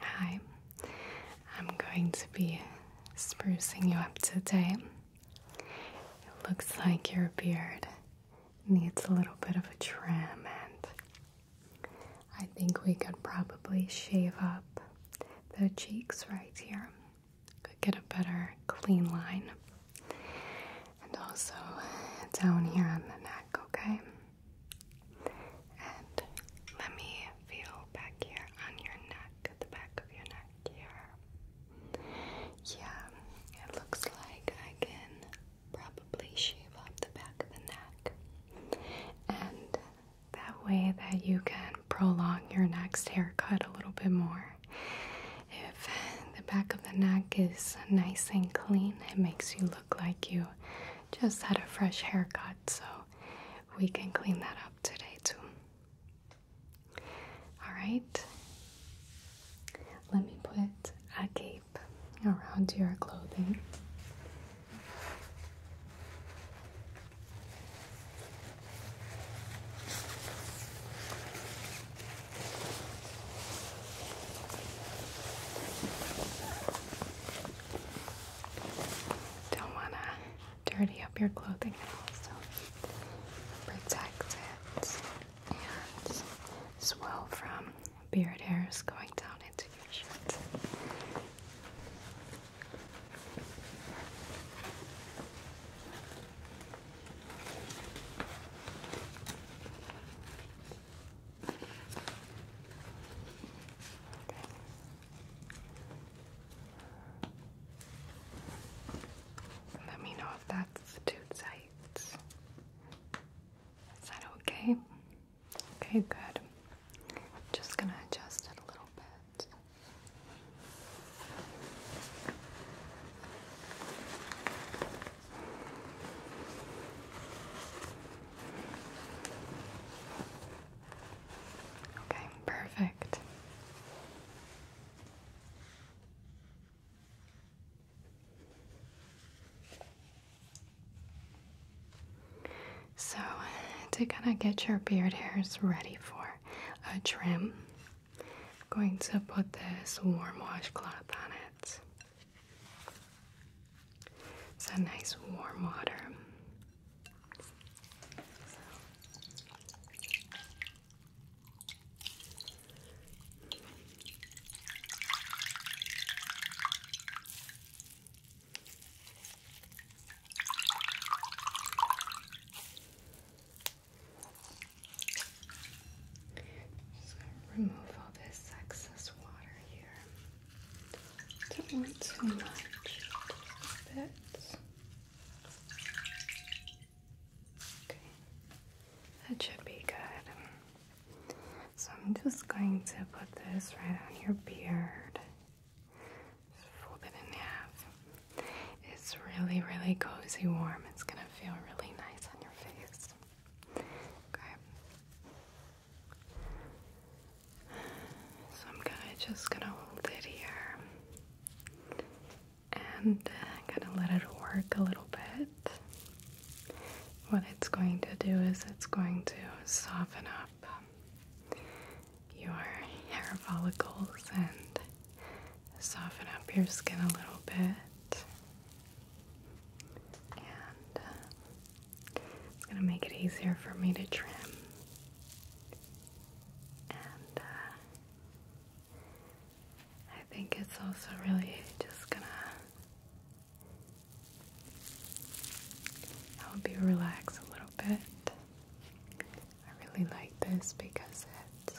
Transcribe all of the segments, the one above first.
Hi, I'm going to be sprucing you up today. It looks like your beard needs a little bit of a trim, and I think we could probably shave up the cheeks right here. Could get a better clean line. And also down here on the neck, okay? And let me feel back here on your neck, the back of your neck here. Yeah, it looks like I can probably shave up the back of the neck. And that way that you can prolong your next haircut a little bit more. If the back of the neck is nice and clean, it makes you look like you just had a fresh haircut, so we can clean that up today, too. Alright, let me put a cape around your clothing. Don't want to dirty up your clothing and also protect it and swell from beard hairs going down into your shirt. Let me know if that's too tight. Is that okay? Okay, good. Just gonna adjust it a little bit. Okay, perfect. So, to kind of get your beard hairs ready for a trim, I'm going to put this warm washcloth on it. It's a nice warm water. Just gonna remove all this excess water here. Don't want too much, a bit. Okay, that should be good. So I'm just going to put this right on your beard. fold it in half. It's really, really cozy warm. It's gonna feel really nice on your face. Okay. So I'm gonna just gonna hold it here and i uh, gonna let it work a little bit. What it's going to do is it's going to soften up your hair follicles and soften up your skin a little bit. And uh, it's going to make it easier for me to trim. And uh, I think it's also really just going to help you relax a little bit. I really like this because it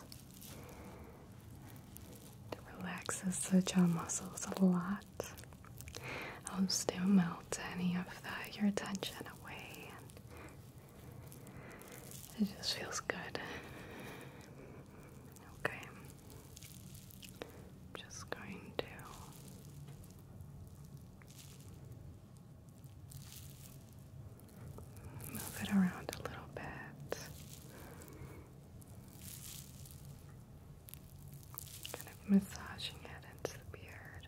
relaxes the jaw muscles a lot that. I'll still melt any of the, your attention away, and it just feels good. Okay, I'm just going to. Move it around a little bit kind of massaging it into the beard.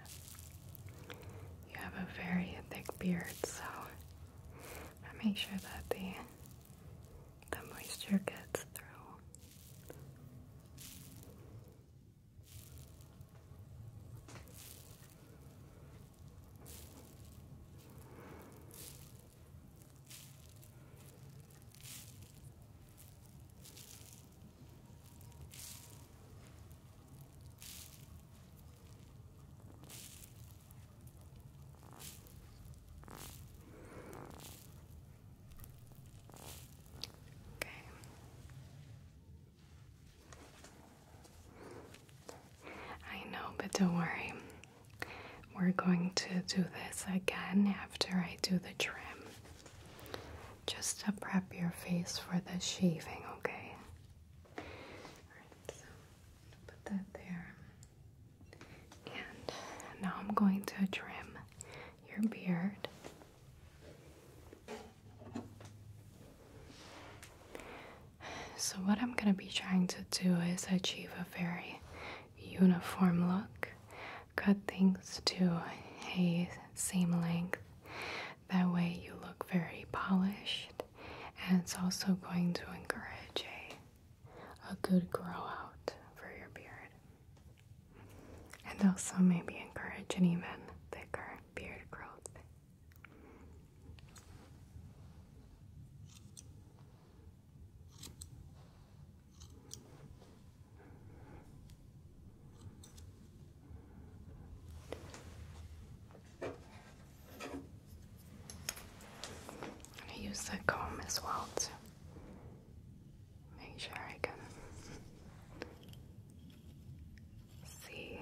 You have a very thick beard, so I make sure that the the moisture gets through. Okay. I know, but don't worry. We're going to do this again after I do the trim. Just to prep your face for the shaving, okay? Alright, so put that there. And now I'm going to trim your beard. So, what I'm going to be trying to do is achieve a very uniform look cut things to a same length. That way, you look very polished, and it's also going to encourage a, a good grow out for your beard. And also, maybe encourage even thicker beard growth. I use the comb as well to make sure I can see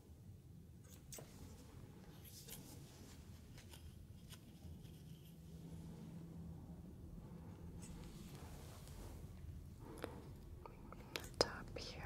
the top here. Okay.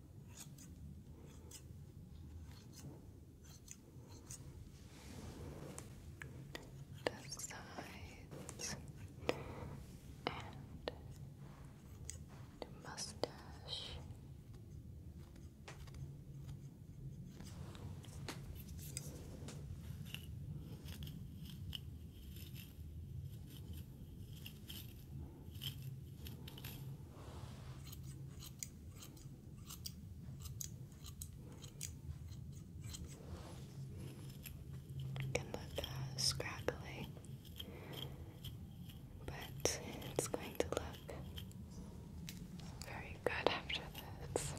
the sides and mustache. You can look scraggly, but it's going to look very good after this.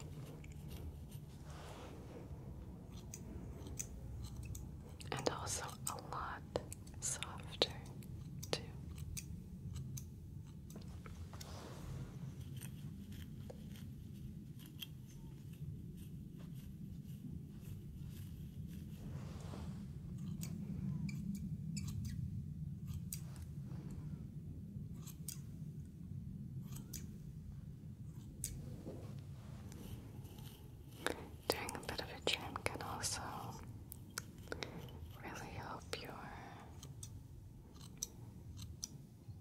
And also a lot softer too. Doing a bit of a trim can also Really hope your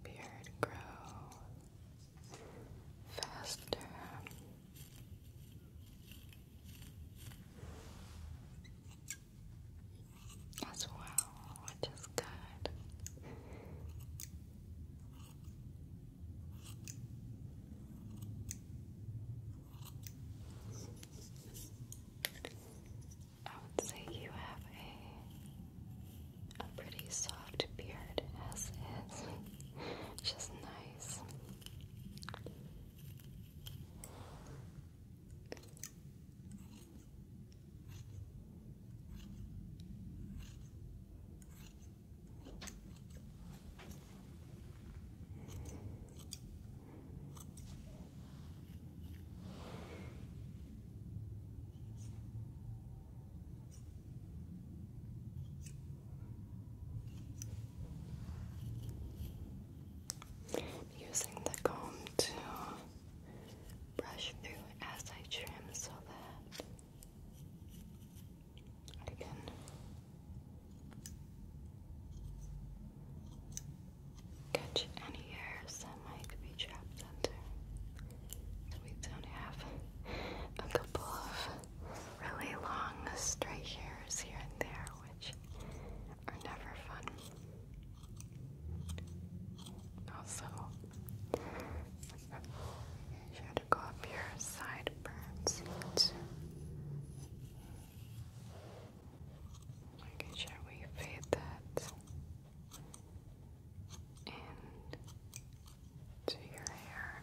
beard grow faster. As well, which is good. I would say you have a a pretty soft beard as is, just nice. Using the comb to brush through as I trim so that again. Catch any hairs that might be trapped under. we don't have a couple of really long stray hairs here and there, which are never fun. Also, try to go up your sideburns Okay, shall we fade that into your hair?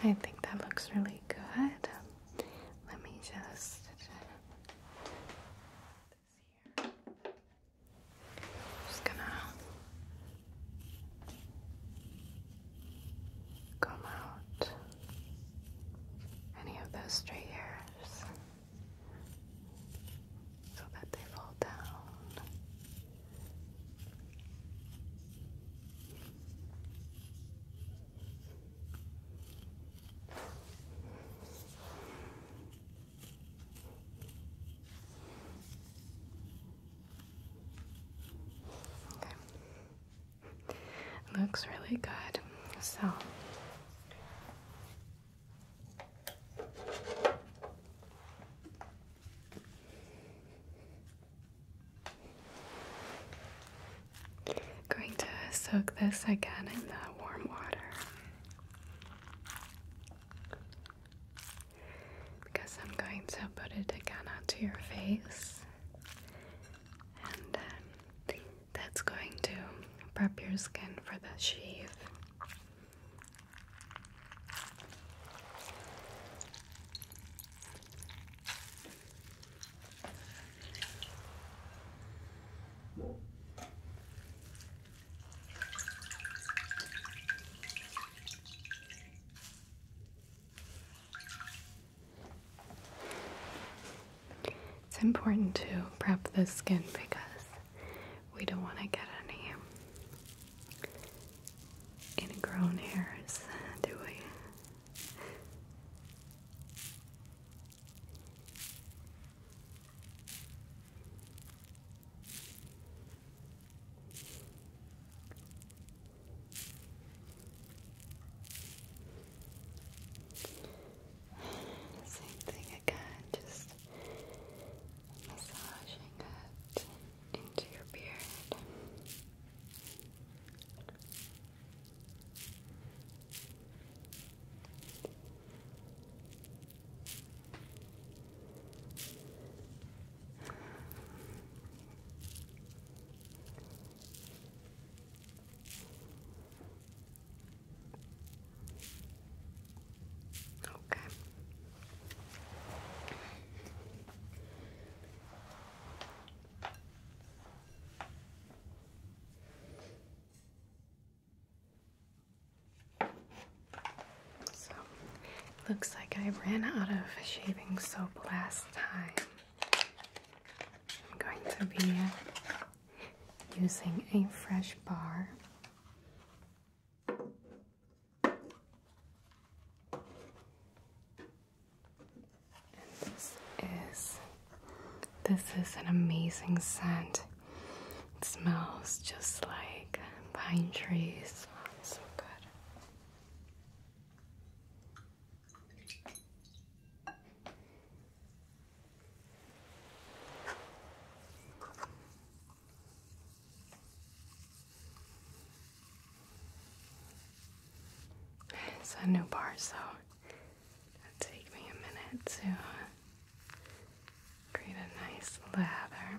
Okay, I think that looks really good. Let me just Just gonna come out any of those stray hairs so that they fall down. Okay. Looks really good. So Going to soak this again in the warm water because I'm going to put it again onto your face and that's going to prep your skin for the sheath. It's important to prep the skin because we don't want to get any ingrown hairs, do we? Same thing again, just massaging it into your beard. Okay. So, looks like I ran out of shaving soap last time. I'm going to be using a fresh bar. this is this is an amazing scent. It smells just like pine trees. so good. It's a new bar, so it'll take me a minute to uh, create a nice lather.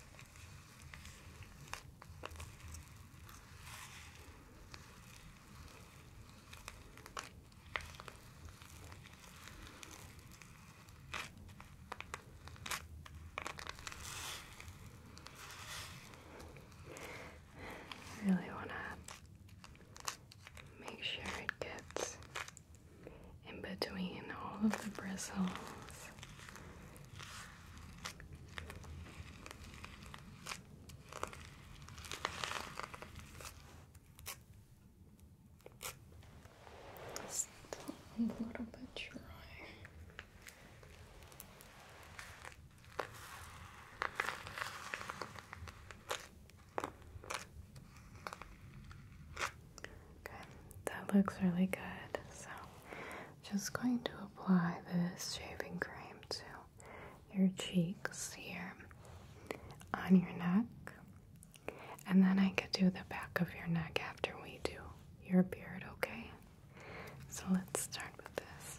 I really want to make sure it gets in between all of the bristles. It's a little bit dry. Okay, that looks really good. So, just going to apply this shaving cream to your cheeks here on your neck, and then I could do the back of your neck after we do your beard, okay? So, let's start with this.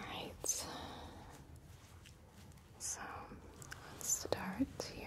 Alright, so let's start here.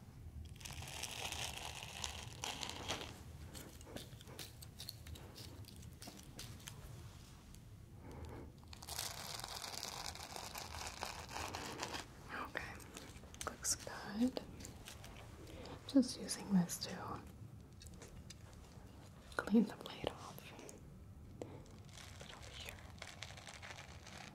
Okay, looks good. Just using this to clean the blade off. Put over here.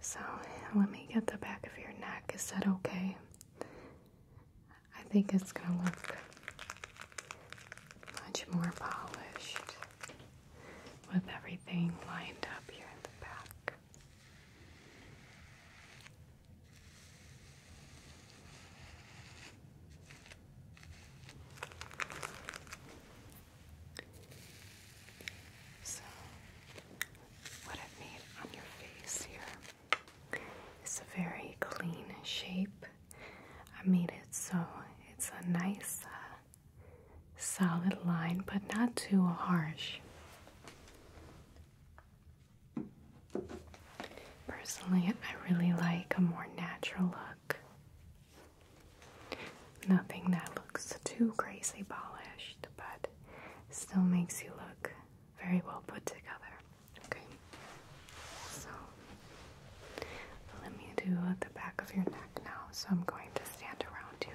So let me get the back of your neck. Is that okay? I think it's going to look much more polished with everything lined up here in the back. So, what i made on your face here is a very clean shape. I made it so it's a nice, uh, solid line, but not too harsh. Personally, I really like a more natural look. Nothing that looks too crazy polished, but still makes you look very well put together. Okay, so let me do the back of your neck now. So I'm going to stand around you.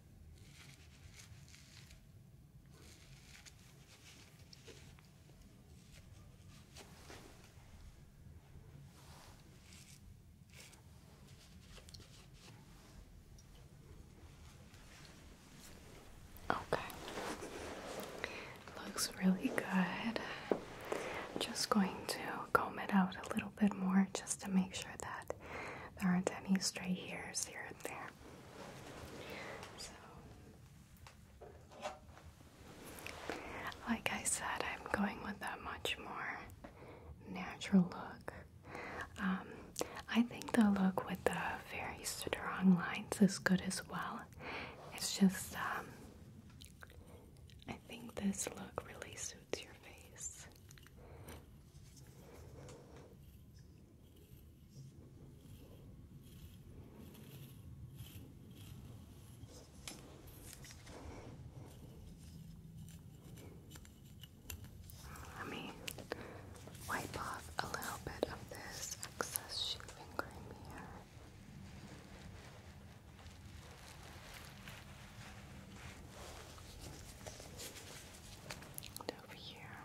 Okay, looks really good. just going to comb it out a little bit more just to make sure that there aren't any stray hairs here and there like I said, I'm going with a much more natural look. Um, I think the look with the very strong lines is good as well. It's just, um, I think this look really suits your face. Let me wipe off a little bit of this excess shaving cream here. And over here.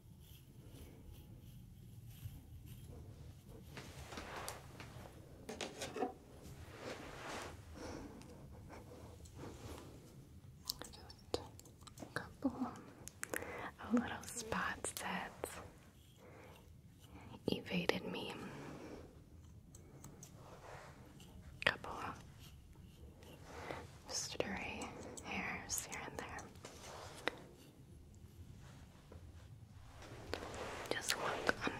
Just a couple of little spots that evaded me. Couple stray hairs here and there. Just look under.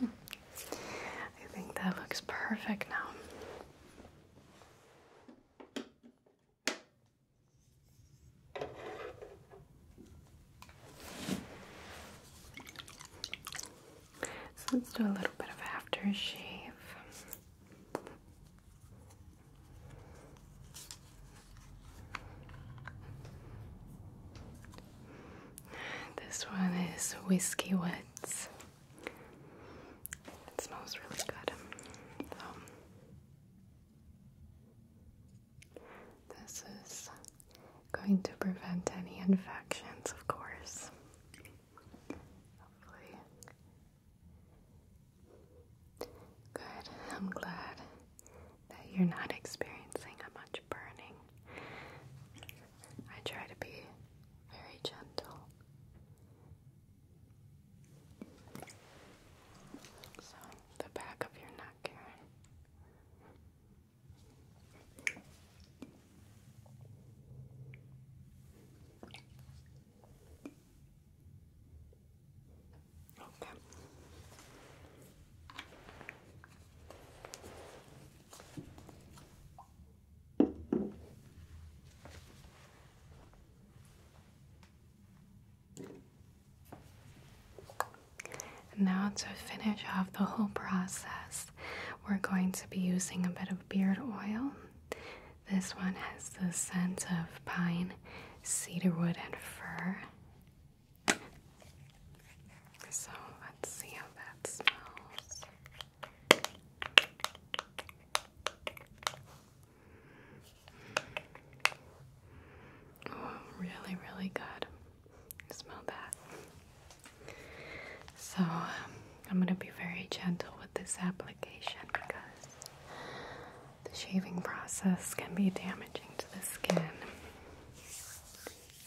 I think that looks perfect now. So let's do a little bit of aftershave. This one is Whiskey Wets. It smells really good. Um, this is going to prevent any infections, of course. Good. I'm glad that you're not experiencing a much burning. I try to be very gentle. So, the back of your neck here now to finish off the whole process, we're going to be using a bit of beard oil. This one has the scent of pine cedarwood and fir. So let's see how that smells. Oh, really, really good. Smell that. So, um, I'm going to be very gentle with this application because the shaving process can be damaging to the skin,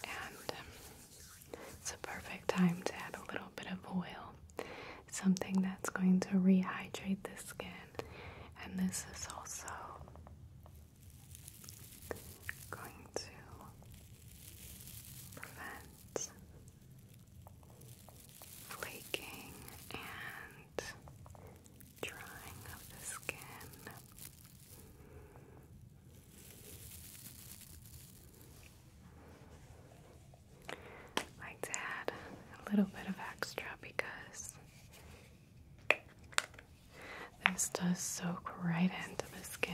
and um, it's a perfect time to add a little bit of oil, something that's going to rehydrate the skin. And this is also going to prevent flaking and drying of the skin. like to add a little bit of extra because this does soak right into the skin.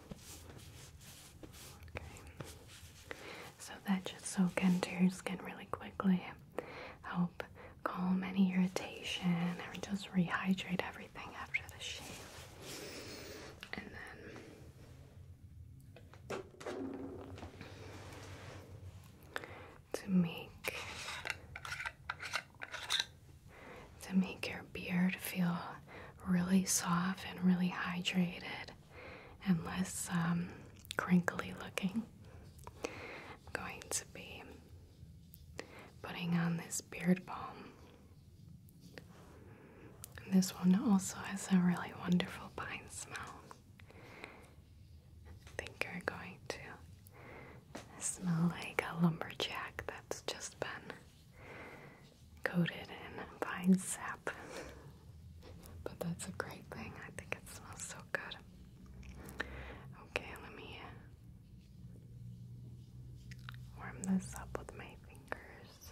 So that just soak into your skin really quickly. Help calm any irritation and just rehydrate everything after the shave. And then to make to make your beard feel really soft and really hydrated and less um, crinkly looking. I'm going to be putting on this beard balm. this one also has a really wonderful pine smell. I think you're going to smell like a lumberjack that's just been coated in vine sap. but that's a great thing. I think it smells so good. Okay, let me warm this up with my fingers.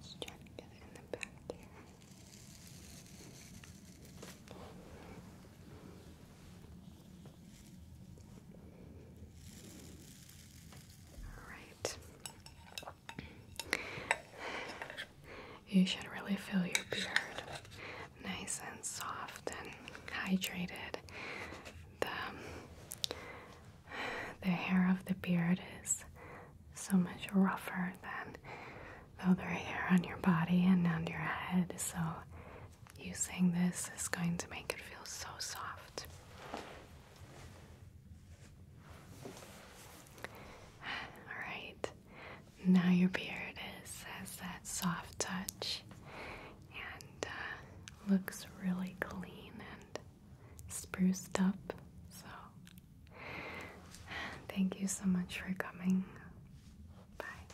Let's try to get it in the back here. Alright. You should really fill your beard nice and soft and hydrated. The, the hair of the beard is so much rougher than the other hair on your body and on your head, so using this is going to make it feel so soft. Alright, now your beard is has that soft touch and uh, looks really clean and spruced up. So, thank you so much for coming. Bye.